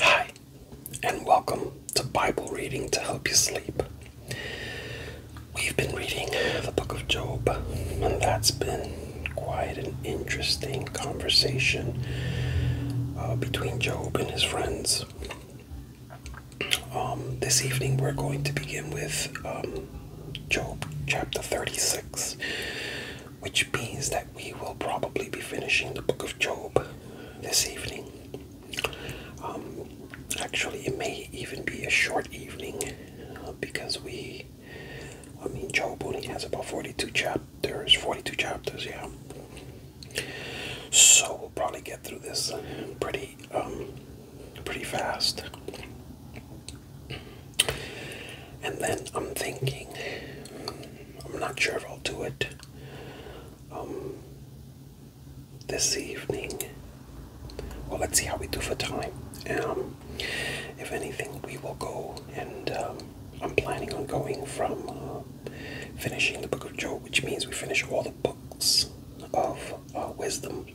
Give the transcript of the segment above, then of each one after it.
Hi, and welcome to Bible Reading to Help You Sleep. We've been reading the book of Job, and that's been quite an interesting conversation uh, between Job and his friends. Um, this evening, we're going to begin with um, Job chapter 36, which means that we will probably be finishing the book of Job this evening. Um, actually, it may even be a short evening uh, because we, I mean, Job only has about 42 chapters, 42 chapters, yeah. So we'll probably get through this pretty, um, pretty fast. And then I'm thinking, I'm not sure if I'll do it um, this evening. Well, let's see how we do for time. Um, if anything, we will go and um, I'm planning on going from uh, finishing the Book of Job, which means we finish all the books of uh, wisdom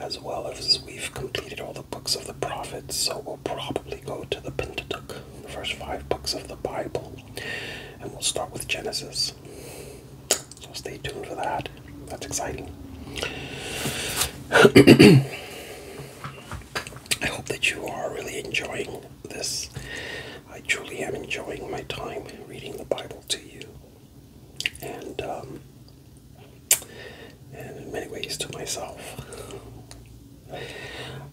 as well as we've completed all the books of the prophets, so we'll probably go to the Pentateuch, the first five books of the Bible, and we'll start with Genesis. So stay tuned for that. That's exciting. I hope that you are really enjoying this. I truly am enjoying my time reading the Bible to you and um, and in many ways to myself.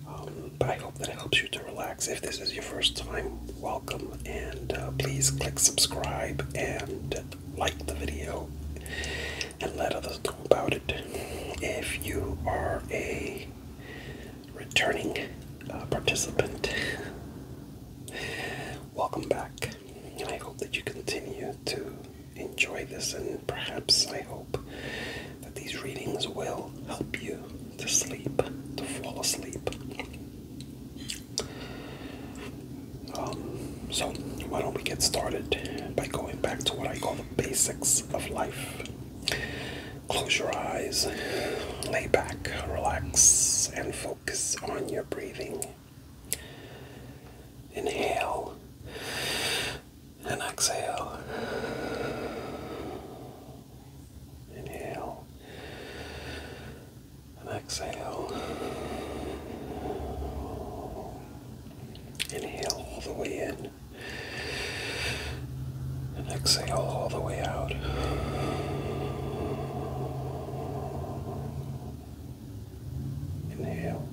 Um, but I hope that it helps you to relax. If this is your first time, welcome, and uh, please click subscribe and like the video and let others know about it. If you are a returning uh, participant, welcome back. I hope that you continue to enjoy this, and perhaps I hope that these readings will help you to sleep, to fall asleep. Um, so, why don't we get started by going back to what I call the basics of life? Close your eyes, lay back, relax, and focus on your breathing. Inhale and exhale. Inhale and exhale. Inhale all the way in and exhale all the way out. Inhale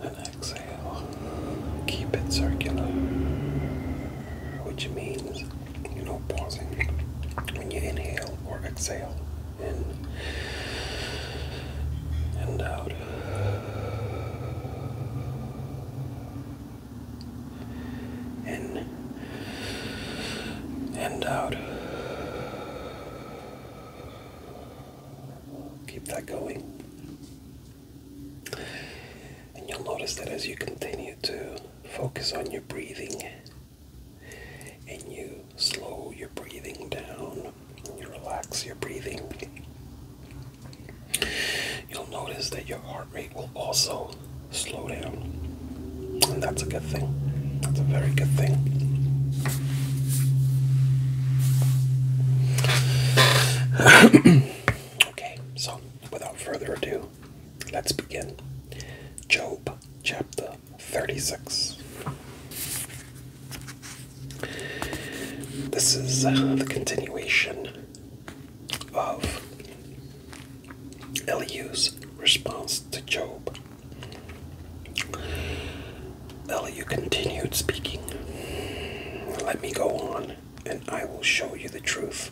and exhale. Keep it circular, which means you know pausing when you inhale or exhale. In and out. In and out. Keep that going. And you'll notice that as you continue to focus on your breathing and you slow your breathing down, and you relax your breathing, you'll notice that your heart rate will also slow down. And that's a good thing. That's a very good thing. okay, so without further ado, let's begin. Job chapter 36. This is uh, the continuation of Elihu's response to Job. Eliu continued speaking. Let me go on, and I will show you the truth.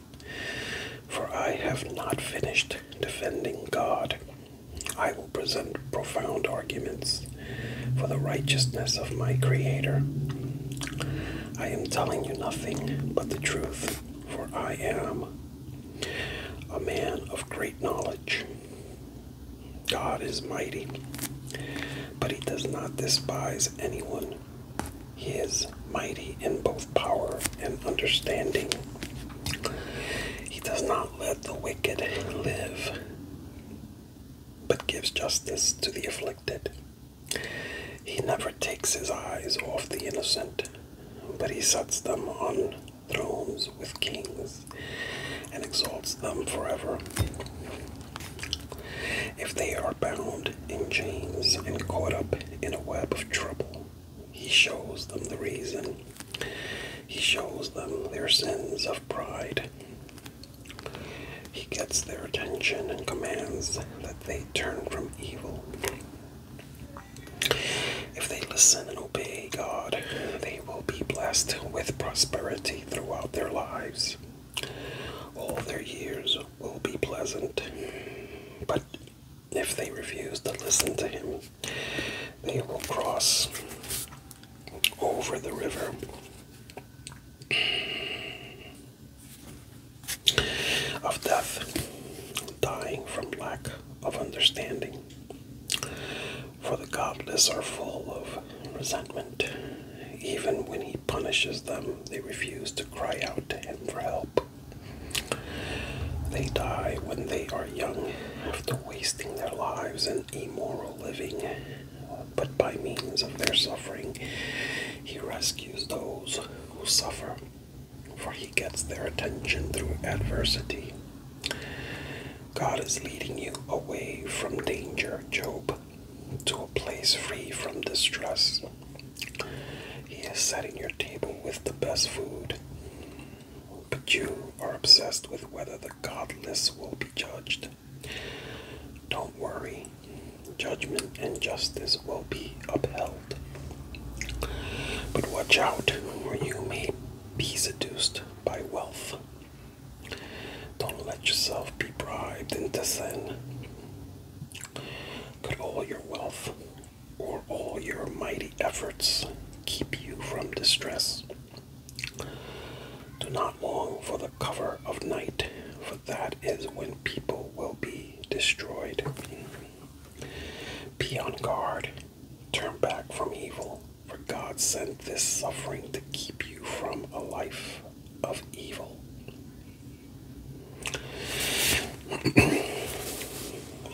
For I have not finished defending God. I will present profound arguments for the righteousness of my Creator. I am telling you nothing but the truth, for I am a man of great knowledge. God is mighty, but he does not despise anyone. He is mighty in both power and understanding. He does not let the wicked live, but gives justice to the afflicted. He never takes his eyes off the innocent, but he sets them on thrones with kings and exalts them forever. If they are bound in chains and caught up in a web of trouble, he shows them the reason. He shows them their sins of pride. He gets their attention and commands that they turn from evil. If they listen and obey God, they will be blessed with prosperity throughout their lives. All their years will be pleasant, but if they refuse to listen to him, they will cross over the river. Of death, dying from lack of understanding. For the godless are full of resentment. Even when he punishes them, they refuse to cry out to him for help. They die when they are young, after wasting their lives in immoral living. But by means of their suffering, he rescues those who suffer, for he gets their attention through adversity. God is leading you away from danger, Job, to a place free from distress. He is setting your table with the best food. But you are obsessed with whether the godless will be judged. Don't worry, judgment and justice will be upheld. But watch out, or you may be seduced by wealth. Don't let yourself be bribed into sin. Could all your wealth or all your mighty efforts keep you from distress? Do not long for the cover of night, for that is when people will be destroyed. Be on guard, turn back from evil, for God sent this suffering to keep you from a life of evil.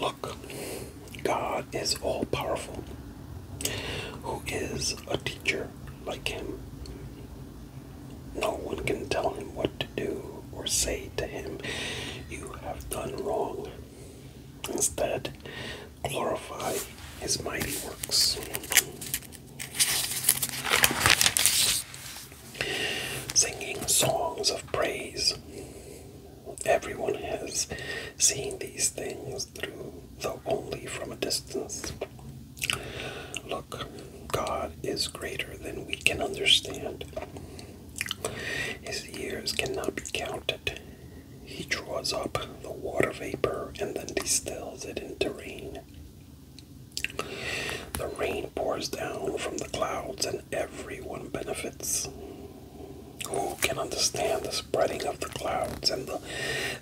Look, God is all powerful. Who is a teacher like him? No one can tell him what to do or say to him, You have done wrong. Instead, glorify his mighty works. Singing songs of praise. Everyone has seen these things through, though only from a distance. Look, God is greater than we can understand. His years cannot be counted. He draws up the water vapor and then distills it into rain. The rain pours down from the clouds and everyone benefits. Who can understand the spreading of the clouds and the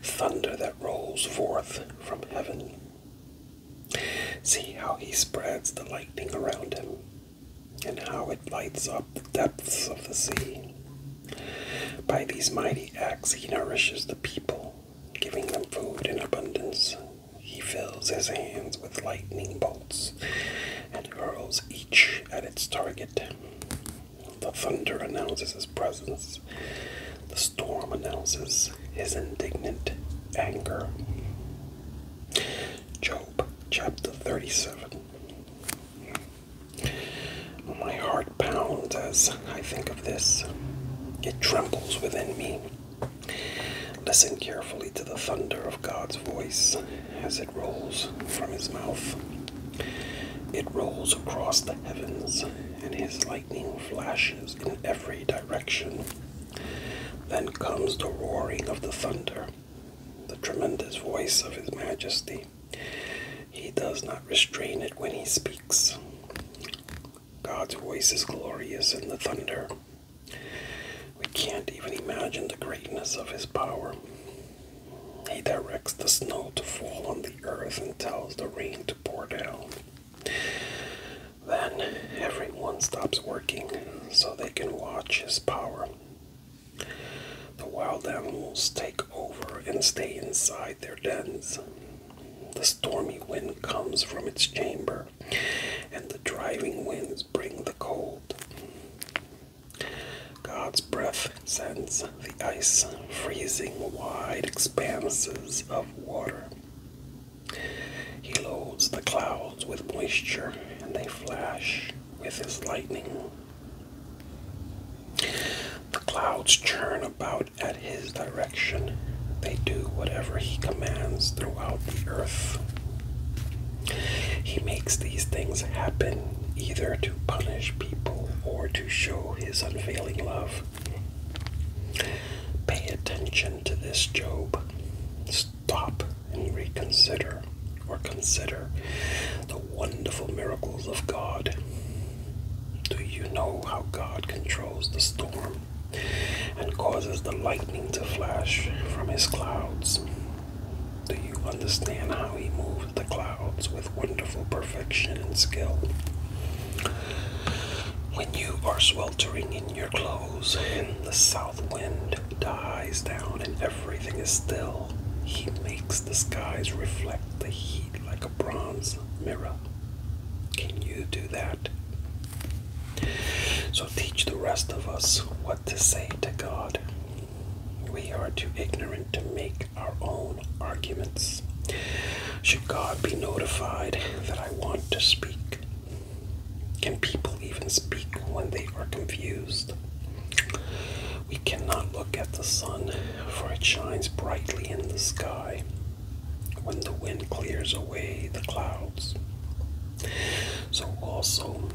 thunder that rolls forth from heaven? See how he spreads the lightning around him, and how it lights up the depths of the sea. By these mighty acts, he nourishes the people, giving them food in abundance. He fills his hands with lightning bolts and hurls each at its target. The thunder announces his presence, the storm announces his indignant anger. Job chapter 37. My heart pounds as I think of this. It trembles within me. Listen carefully to the thunder of God's voice as it rolls from his mouth. It rolls across the heavens, and his lightning flashes in every direction. Then comes the roaring of the thunder, the tremendous voice of his majesty. He does not restrain it when he speaks. God's voice is glorious in the thunder. We can't even imagine the greatness of his power. He directs the snow to fall on the earth and tells the rain to pour down. Then everyone stops working so they can watch his power the wild animals take over and stay inside their dens. The stormy wind comes from its chamber, and the driving winds bring the cold. God's breath sends the ice, freezing wide expanses of water. He loads the clouds with moisture, and they flash with his lightning. The clouds churn about at his direction. They do whatever he commands throughout the earth. He makes these things happen either to punish people or to show his unfailing love. Pay attention to this, Job. Stop and reconsider, or consider the wonderful miracles of God. Do you know how God controls the storm and causes the lightning to flash from his clouds? Do you understand how he moves the clouds with wonderful perfection and skill? When you are sweltering in your clothes and the south wind dies down and everything is still, he makes the skies reflect the heat like a bronze mirror. Can you do that? So teach the rest of us what to say to God. We are too ignorant to make our own arguments. Should God be notified that I want to speak? Can people even speak when they are confused? We cannot look at the sun, for it shines brightly in the sky when the wind clears away the clouds. So also,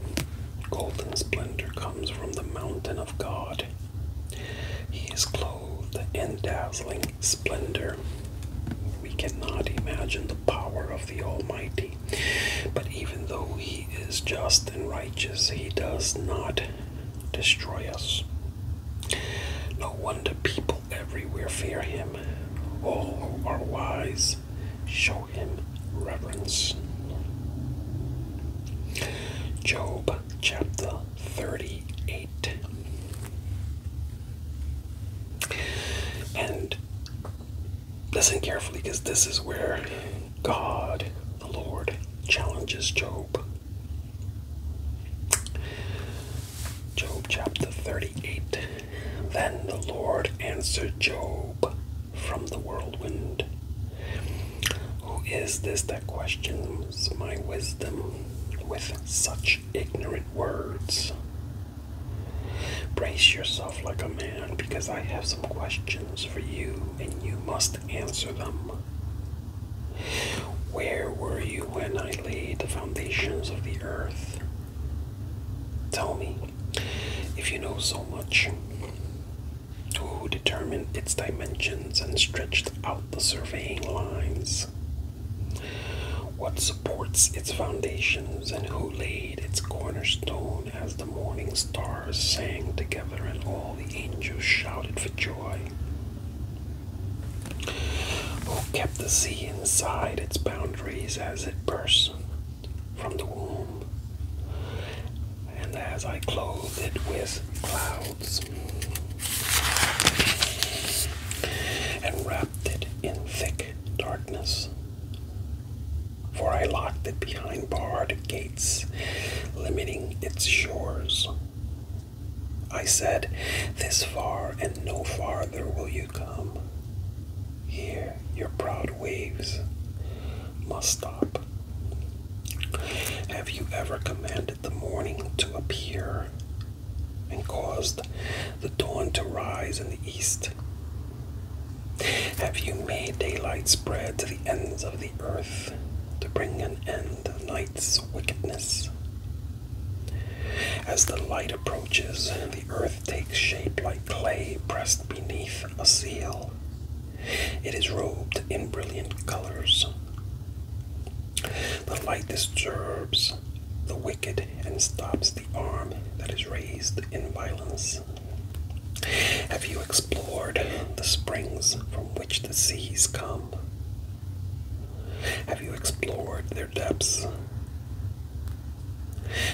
golden splendor comes from the mountain of God. He is clothed in dazzling splendor. We cannot imagine the power of the Almighty, but even though He is just and righteous, He does not destroy us. No wonder people everywhere fear him. All who are wise show him reverence. Job chapter 38. And listen carefully because this is where God, the Lord, challenges Job. Job chapter 38 Then the Lord answered Job from the whirlwind Who is this that questions my wisdom with such ignorant words? Brace yourself like a man, because I have some questions for you, and you must answer them. Where were you when I laid the foundations of the earth? Tell me, if you know so much, who determined its dimensions and stretched out the surveying lines? What supports its foundations and who laid its cornerstone as the morning stars sang together and all the angels shouted for joy? who kept the sea inside its boundaries as it burst from the womb, and as I clothed it with clouds, and wrapped it in thick darkness. For I locked it behind barred gates, limiting its shores, I said, This far and no farther will you come. Here your proud waves must stop. Have you ever commanded the morning to appear and caused the dawn to rise in the east? Have you made daylight spread to the ends of the earth to bring an end to night's wickedness. As the light approaches, the earth takes shape like clay pressed beneath a seal. It is robed in brilliant colors. The light disturbs the wicked and stops the arm that is raised in violence. Have you explored the springs from which the seas come? Have you explored their depths?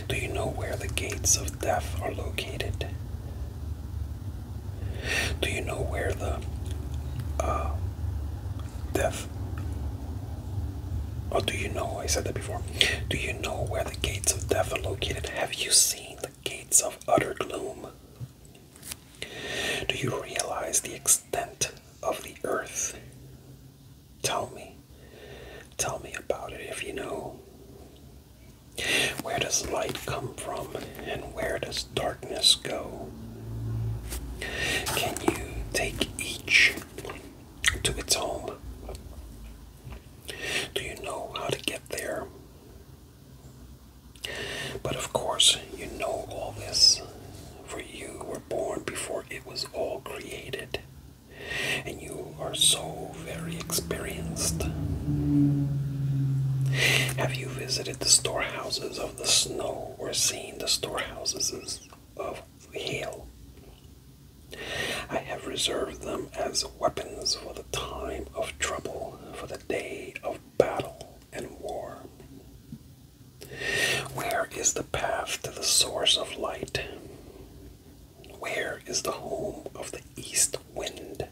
Do you know where the gates of death are located? Do you know where the uh, death? Oh, do you know? I said that before. Do you know where the gates of death are located? Have you seen the gates of utter gloom? Do you realize the extent of the earth? Tell me. Tell me about it if you know. Where does light come from and where does darkness go? Can you take each to its home? Do you know how to get there? But of course, you know all this, for you were born before it was all created, and you are so very experienced. Have you visited the storehouses of the snow or seen the storehouses of hail? I have reserved them as weapons for the time of trouble, for the day of battle and war. Where is the path to the source of light? Where is the home of the east wind?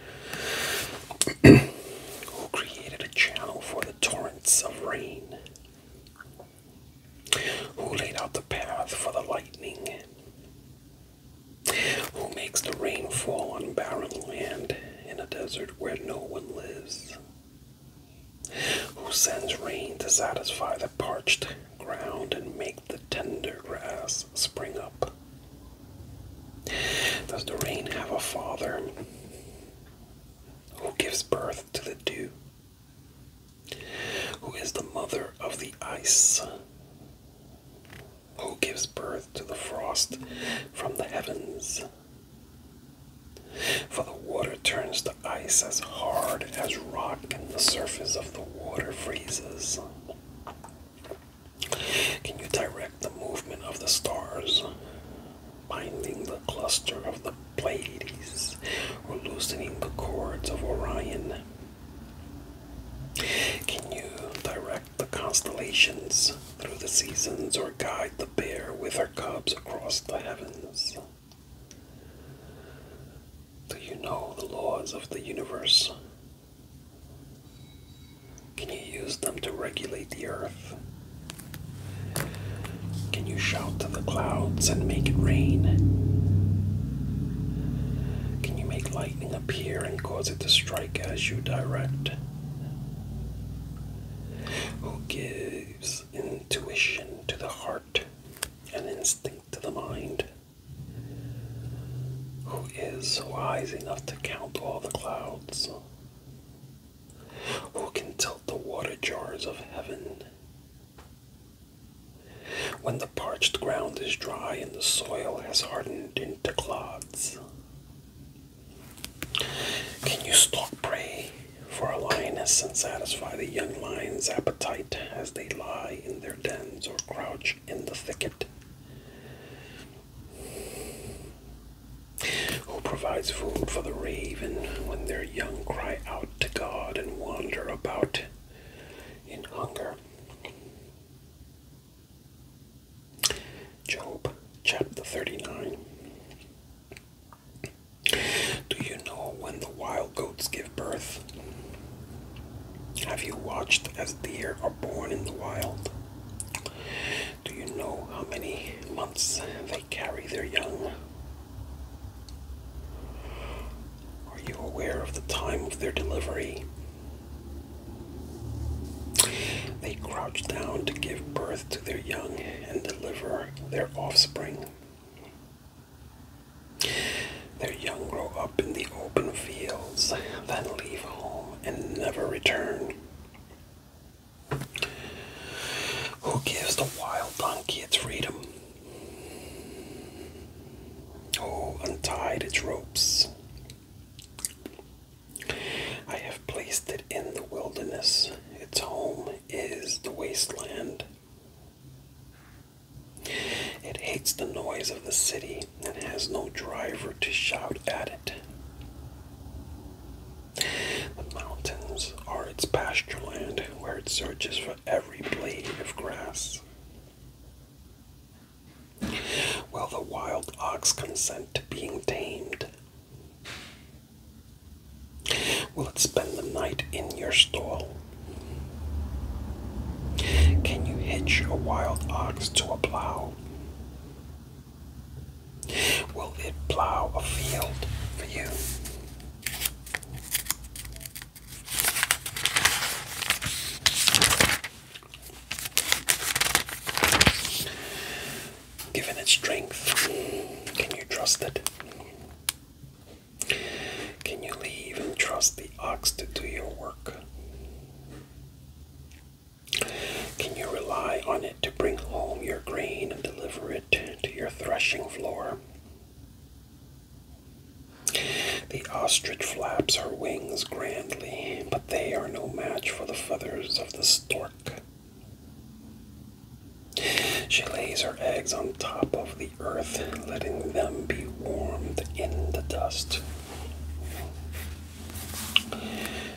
Who created a channel for the torrents of rain? Who laid out the path for the lightning? Who makes the rain fall on barren land in a desert where no one lives, who sends rain to satisfy the parched ground and make the tender grass spring up. Does the rain have a father who gives birth to the dew? Who is the mother of the ice? Who gives birth to the frost from the heavens? For the water turns to ice as hard as rock, and the surface of the water freezes. Can you direct the movement of the stars, binding the cluster of the Pleiades, or loosening the cords of Orion? Can you direct the constellations through the seasons or guide the? bear with her cubs across the heavens. Do you know the laws of the universe? Can you use them to regulate the earth? Can you shout to the clouds and make it rain? Can you make lightning appear and cause it to strike as you direct? who gives intuition to the heart and instinct to the mind, who is wise enough to count all the clouds, who can tilt the water jars of heaven. When the parched ground is dry and the soil has hardened into clods, can you stalk prey for a lioness and satisfy the young lion's appetite as they lie in their dens or crouch in the thicket? Who provides food for the raven when their young cry out to God and wander about in hunger? Job chapter 39. Do you know when the wild goats give birth? Have you watched as deer are born in the wild? Do you know how many months they carry their young? Are you aware of the time of their delivery? They crouch down to give birth to their young and deliver their offspring. Their young grow up in the open fields, then leave home and never return. Who gives the wild donkey its freedom? Who untied its ropes? I have placed it in the wilderness. Its home is the wasteland. It hates the noise of the city and has no driver to shout at it. The mountains are its pastureland, where it searches for every blade of grass. Will the wild ox consent to being tamed? Will it spend the night in your stall? Can you hitch a wild ox to a plow? Will it plow a field for you? Given its strength, can you trust it? Can you leave and trust the ox to do your work? Can you rely on it to bring home your grain and deliver it to your threshing floor? The ostrich flaps her wings grandly, but they are no match for the feathers of the stork. She lays her eggs on top of the earth, letting them be warmed in the dust.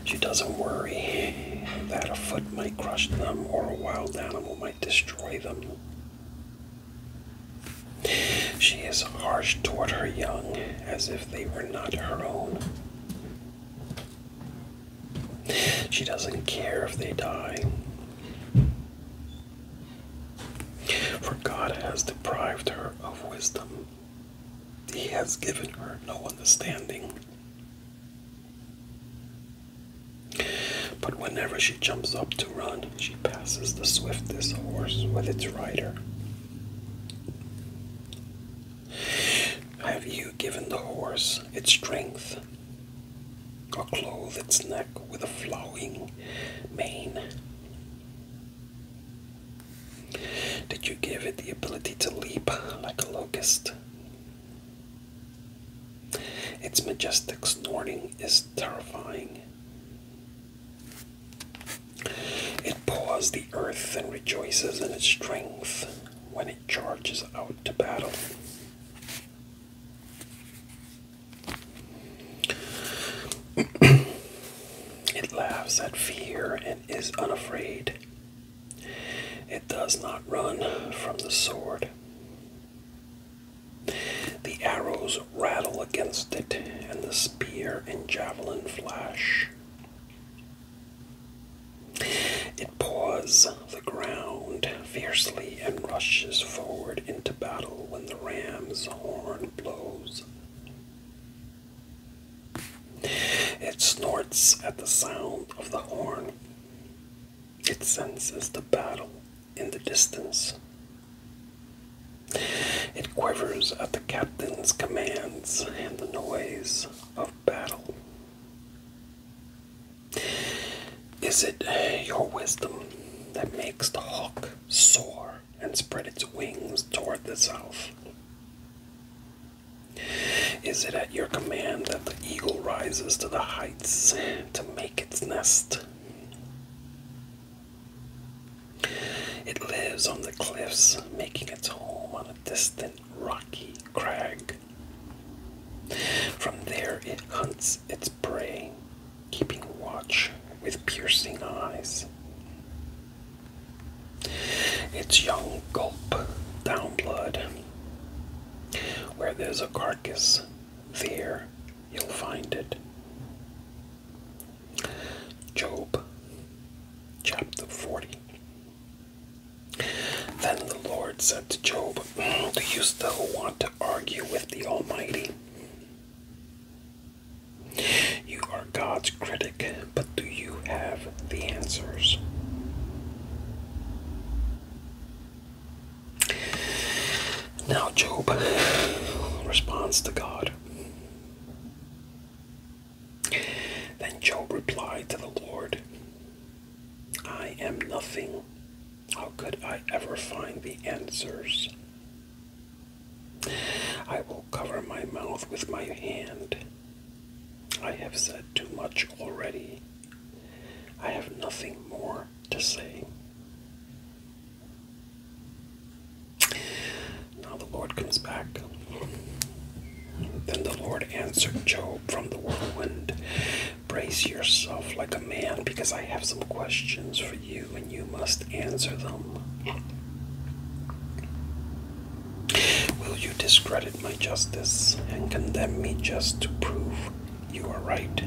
She doesn't worry that a foot might crush them or a wild animal might destroy them. She is harsh toward her young as if they were not her own. She doesn't care if they die. For God has deprived her of wisdom, He has given her no understanding. But whenever she jumps up to run, she passes the swiftest horse with its rider. Have you given the horse its strength or clothe its neck with a flowing mane. Did you give it the ability to leap like a locust? Its majestic snorting is terrifying. It paws the earth and rejoices in its strength when it charges out to battle. it laughs at fear and is unafraid. It does not run from the sword. The arrows rattle against it, and the spear and javelin flash. It paws the ground fiercely and rushes forward into battle when the ram's horn blows. It snorts at the sound of the horn. It senses the battle in the distance. It quivers at the captain's commands and the noise of battle. Is it your wisdom that makes the hawk soar and spread its wings toward the south? Is it at your command that the eagle rises to the heights to make its nest? It lives on the cliffs, making its home on a distant rocky crag. From there it hunts its prey, keeping watch with piercing eyes. Its young gulp down blood. Where there's a carcass, there you'll find it. Job chapter 40. Then the Lord said to Job, Do you still want to argue with the Almighty? You are God's critic, but do you have the answers? Now Job responds to God. Then Job replied to the Lord, I am nothing. How could I ever find the answers? I will cover my mouth with my hand. I have said too much already. I have nothing more to say. Now the Lord comes back. Then the Lord answered Job from the whirlwind Brace yourself like a man because I have some questions for you and you must answer them. Will you discredit my justice and condemn me just to prove you are right?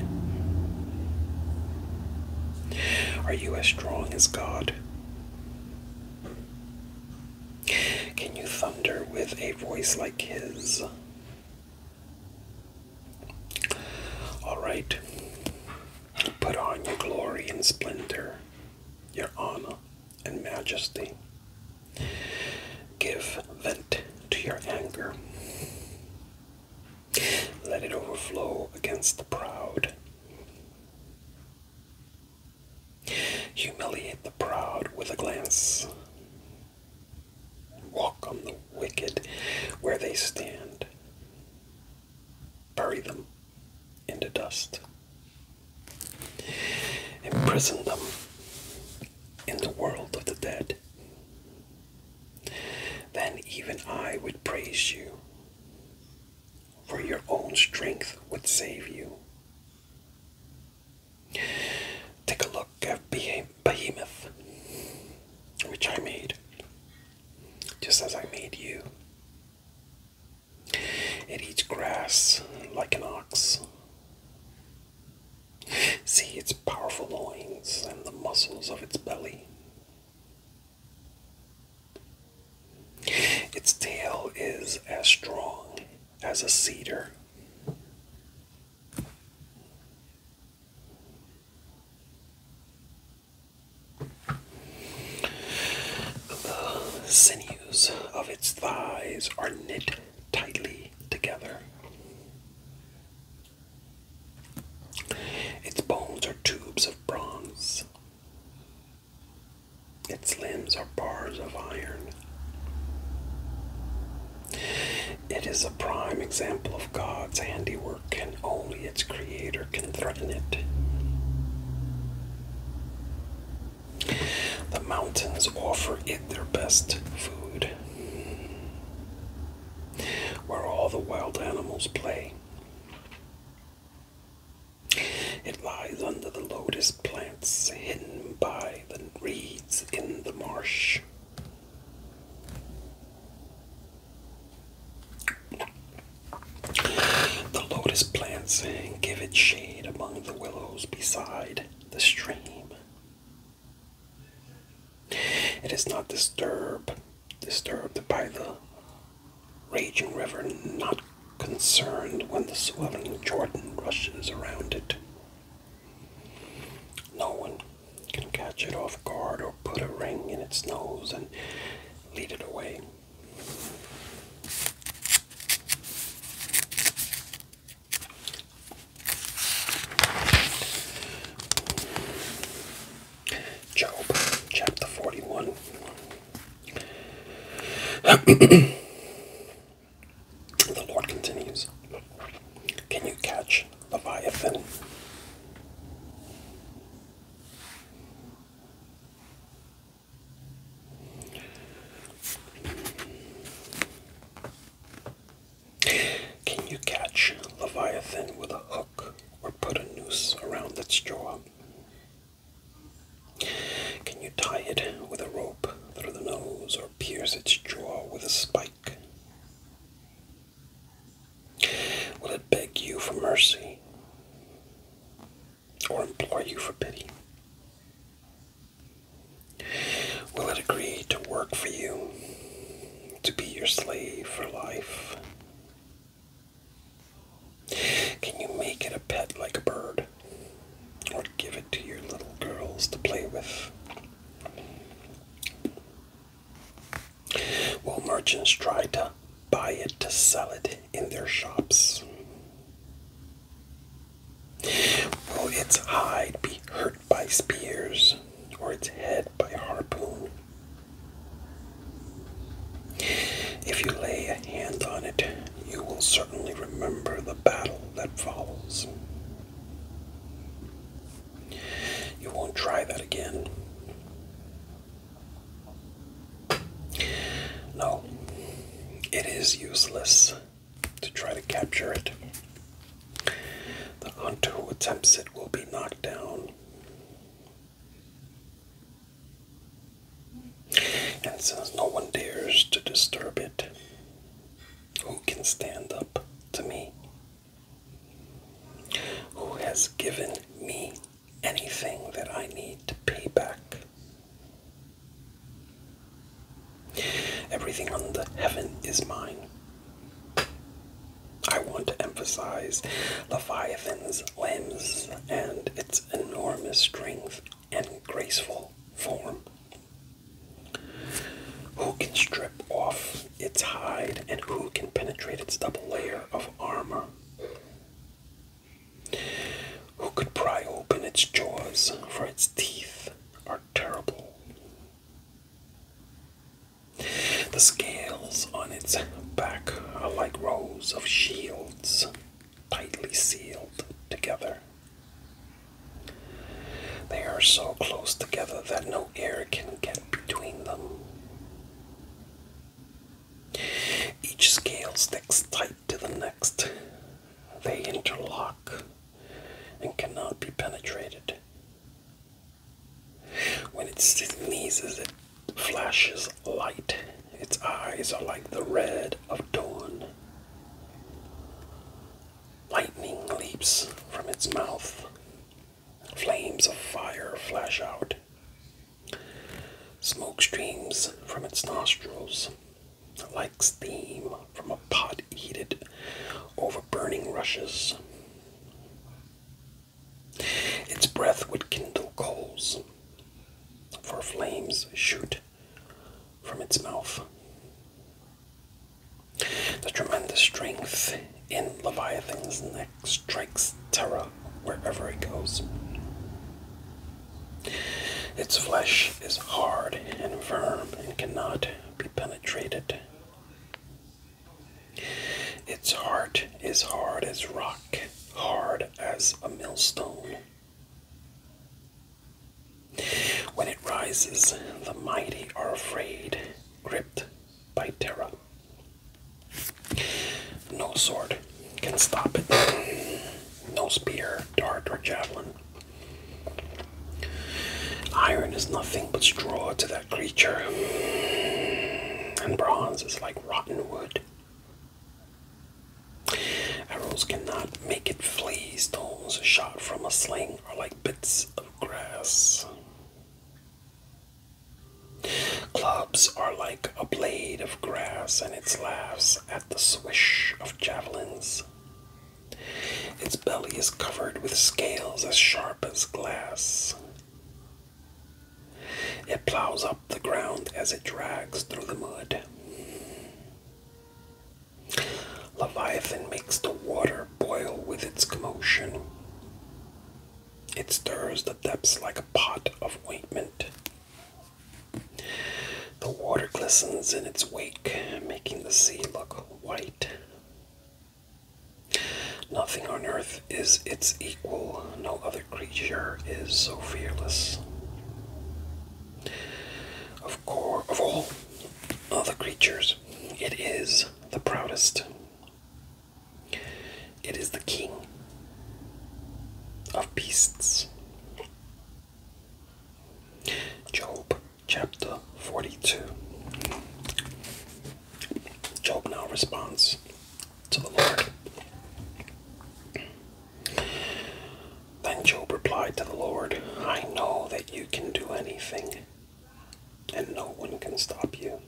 Are you as strong as God? Can you thunder with a voice like his? All right. Put on your glory and splendor, your honor and majesty. Give vent to your anger. Let it overflow against the proud. Humiliate the proud with a glance. Walk on the wicked where they stand. Bury them in the dust. Imprison them in the world of the dead. Then even I would praise you, for your own strength would save you. Take a look at Behemoth, which I made, just as I made you. It eats grass like an ox. See its powerful loins and the muscles of its belly. Its tail is as strong as a cedar. The sinews of its thighs are knit tightly together. Its bones are tubes of bronze. Its limbs are bars of iron. It is a prime example of God's handiwork, and only its creator can threaten it. The mountains offer it their best food, where all the wild animals play. It lies under the lotus plants hidden by the reeds in the marsh. The lotus plant sang, Give it shade among the willows beside the stream. It is not disturbed, disturbed by the raging river, not concerned when the swelling Jordan rushes around it. No one can catch it off guard or put a ring in its nose and lead it away. Job chapter 41. the Lord continues Can you catch Leviathan. Can you catch Leviathan with a hook or put a noose around its jaw? Can you tie it with a rope through the nose or pierce its jaw with a spike? Will it beg you for mercy or implore you for pity? Will it agree to work for you, to be your slave for life? Can you make it a pet like a bird, or give it to your little girls to play with? Will merchants try to buy it to sell it in their shops. Will its hide be hurt by spears, or its head by harpoon? If you lay a hand on it, you will certainly remember the battle that follows. You won't try that again. No, it is useless to try to capture it. The hunter who attempts it will be knocked down. And since no one dares to disturb it, who can stand up to me? who has given me anything that I need to pay back. Everything under heaven is mine. I want to emphasize the Leviathan's limbs and its enormous strength and graceful form. Who can strip off its hide and who can penetrate its double layer of armor? Who could pry open its jaws, for its teeth are terrible? The scales on its back are like rows of shields tightly sealed together. They are so close together that no air can get between them. Each scale sticks tight to the next. They interlock and cannot be penetrated. When it sneezes, it flashes light. Its eyes are like the red of dawn. Lightning leaps from its mouth. Flames of fire flash out. Smoke streams from its nostrils, like steam from a pot heated over burning rushes. Its breath would kindle coals, for flames shoot from its mouth. The tremendous strength in Leviathan's neck strikes terror wherever it goes. Its flesh is hard and firm and cannot be penetrated. Its heart is hard as rock, hard as a millstone. When it rises, the mighty are afraid, gripped by Terra. No sword can stop it. No spear, dart, or javelin. Iron is nothing but straw to that creature, and bronze is like rotten wood. Arrows cannot make it flee. Stones shot from a sling are like bits of grass. Clubs are like a blade of grass, and it laughs at the swish of javelins. Its belly is covered with scales as sharp as glass. It plows up the ground as it drags through the mud. Leviathan makes the water boil with its commotion. It stirs the depths like a pot of ointment. The water glistens in its wake, making the sea look white. Nothing on earth is its equal, no other creature is so fearless. Of core of all other creatures, it is the proudest. It is the king of beasts. Job chapter 42. Job now responds to the Lord. Then Job replied to the Lord, I know that you can do anything, and no one can stop you.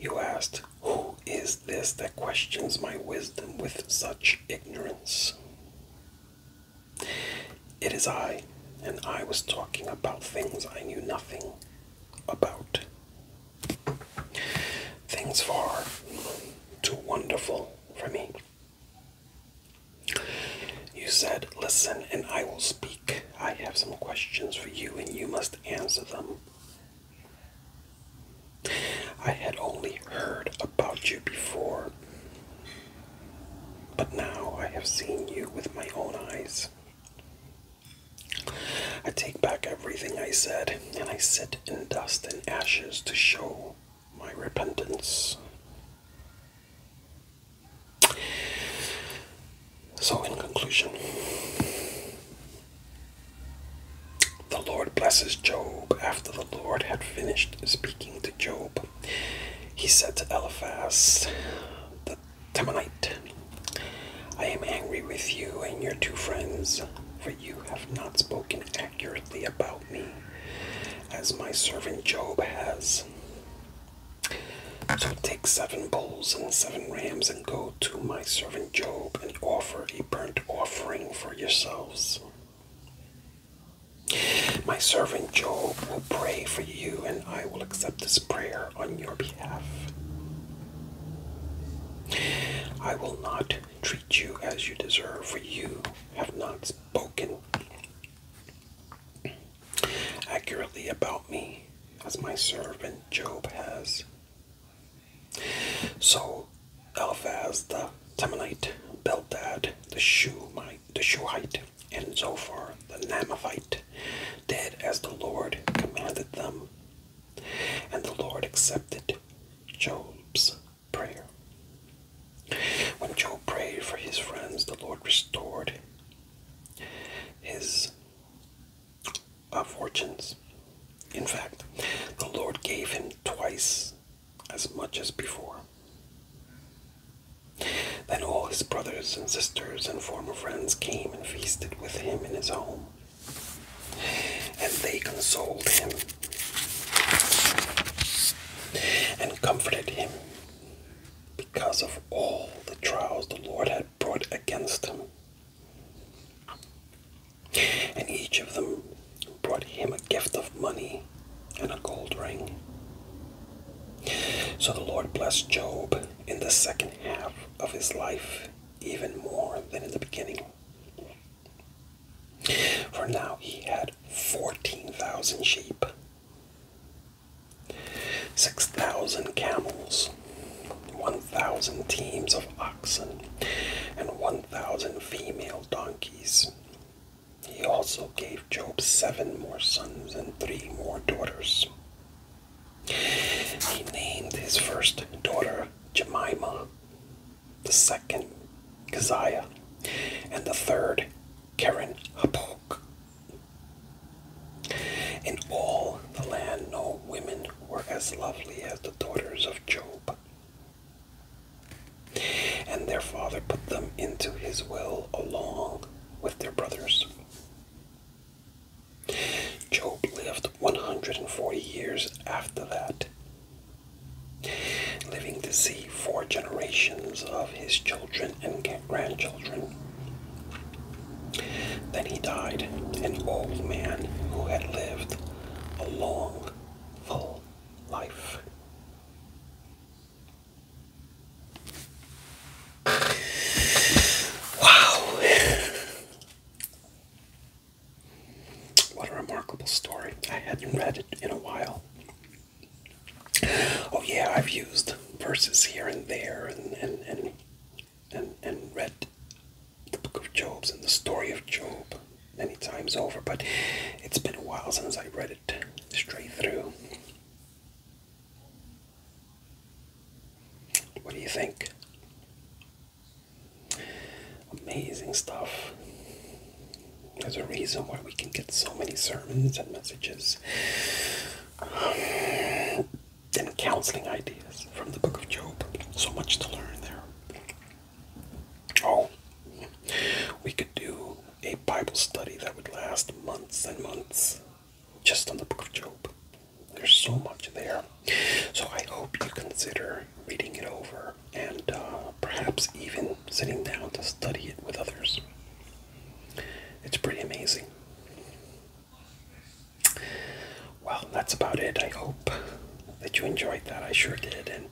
You asked, Who is this that questions my wisdom with such ignorance? It is I, and I was talking about things I knew nothing about. Things far too wonderful for me. You said, Listen, and I will speak. I have some questions for you and you must answer them. I had only heard about you before, but now I have seen you with my own eyes. I take back everything I said, and I sit in dust and ashes to show my repentance. So, in conclusion, the Lord blesses Job after the Lord had finished speaking to Job. He said to Eliphaz the Temanite, I am angry with you and your two friends, for you have not spoken accurately about me, as my servant Job has. So take seven bulls and seven rams and go to my servant Job and offer a burnt offering for yourselves. My servant Job will pray for you, and I will accept this prayer on your behalf. I will not treat you as you deserve, for you have not spoken accurately about me as my servant Job has. So Eliphaz the Temanite, Beldad the Shuhite, the Shuhite, and Zophar the Namathite did as the Lord commanded them, and the Lord accepted Job's prayer. When Job prayed for his friends, the Lord restored his of fortunes. In fact, the Lord gave him twice as much as before. Then all his brothers and sisters and former friends came and feasted with him in his home, and they consoled him and comforted him because of all the trials the Lord had brought against him. And each of them brought him a gift of money and a gold ring. So the Lord blessed Job in the second half of his life even more than in the beginning. For now he had 14,000 sheep, Six thousand camels, one thousand teams of oxen, and one thousand female donkeys. He also gave Job seven more sons and three more daughters. He named his first daughter Jemima, the second Keziah, and the third Karen Hapok. In all the land no women were as lovely as the daughters of Job. And their father put them into his will along with their brothers. Job lived 140 years after that, living to see four generations of his children and grandchildren then he died, an old man who had lived a long, full life. Wow! What a remarkable story. I hadn't read it in a while. Oh, yeah, I've used verses here and there and, and, and and, and read the book of Job's and the story of Job many times over, but it's been a while since I read it straight through. What do you think? Amazing stuff. There's a reason why we can get so many sermons and messages and counseling ideas from the book of Job. So much to learn there. Oh, we could do a Bible study that would last months and months just on the book of Job. There's so much there. So I hope you consider reading it over and uh, perhaps even sitting down to study it with others. It's pretty amazing well, that's about it. I hope that you enjoyed that. I sure did, and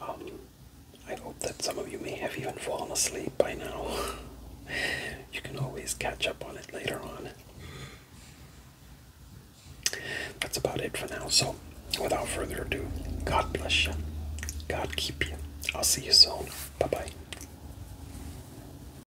um, I hope that some of you may have even fallen asleep by now. you can always catch up on it later on. That's about it for now. So, without further ado, God bless you. God keep you. I'll see you soon. Bye bye.